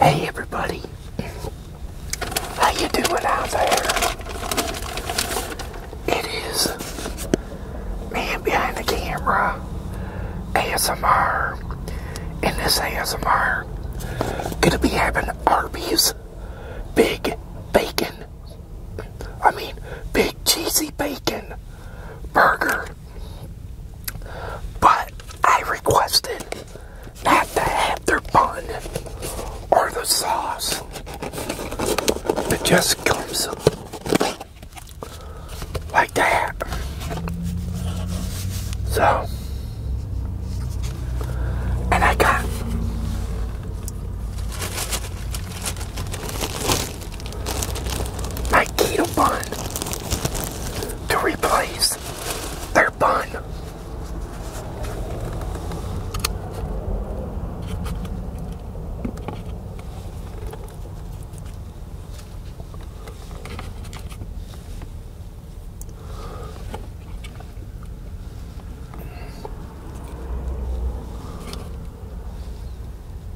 Hey everybody, how you doing out there? It is Man Behind the Camera ASMR, and this ASMR gonna be having Arby's Big Bacon, I mean Big Cheesy Bacon Burger but I requested not the have bun or the sauce. It just comes like that. So, and I got my keto bun to replace their bun.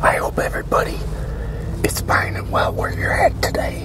I hope everybody is fine and well where you're at today.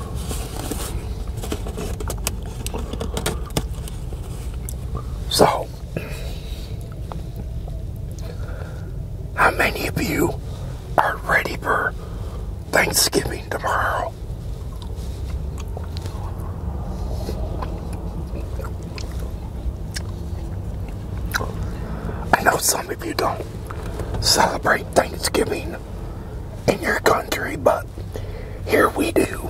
So, how many of you are ready for Thanksgiving tomorrow? I know some of you don't celebrate Thanksgiving in your country, but here we do.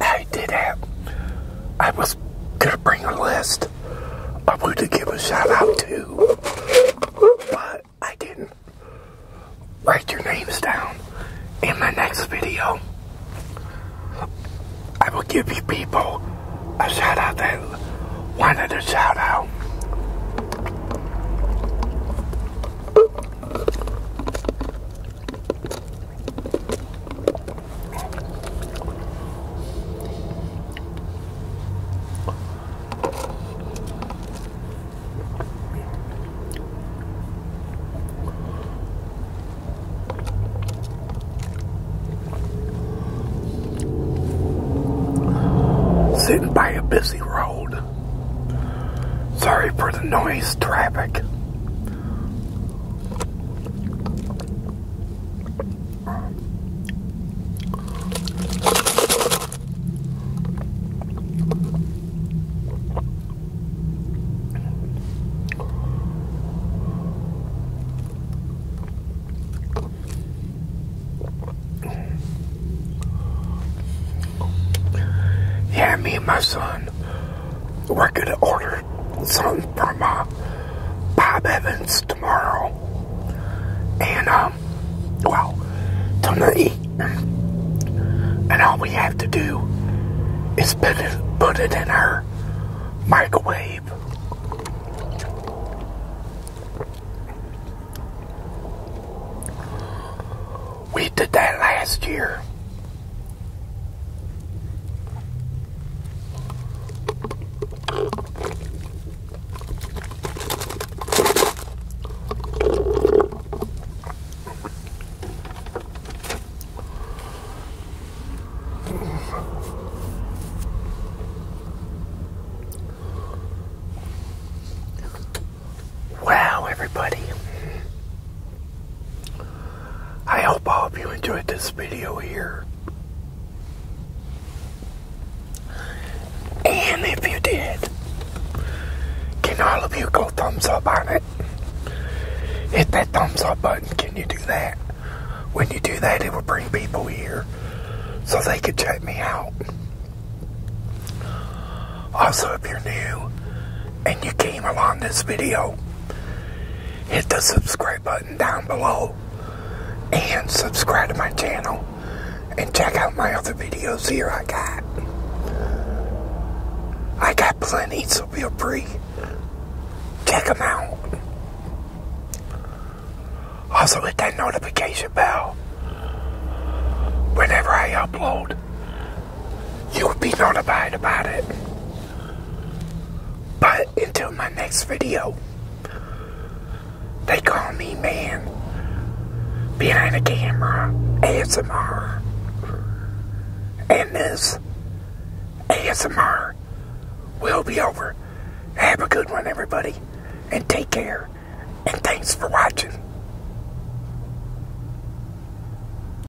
I did that. I was gonna bring a list I wanted to give a shout out to, but I didn't. Write your names down in my next video. I will give you people a shout out that one other shout out. Sitting by a busy road. Sorry for the noise, traffic. Yeah, me and my son, we're gonna order something from Bob Evans tomorrow. And, um, well, tonight. And all we have to do is put it, put it in our microwave. We did that last year. Wow, everybody. I hope all of you enjoyed this video here. And if you did, can all of you go thumbs up on it? Hit that thumbs up button. Can you do that? When you do that, it will bring people here so they could check me out. Also, if you're new and you came along this video hit the subscribe button down below and subscribe to my channel and check out my other videos here I got. I got plenty, so feel free. Check them out. Also hit that notification bell. Whenever I upload, you'll be notified about it. But until my next video, they call me man behind the camera ASMR. And this ASMR will be over. Have a good one, everybody, and take care. And thanks for watching.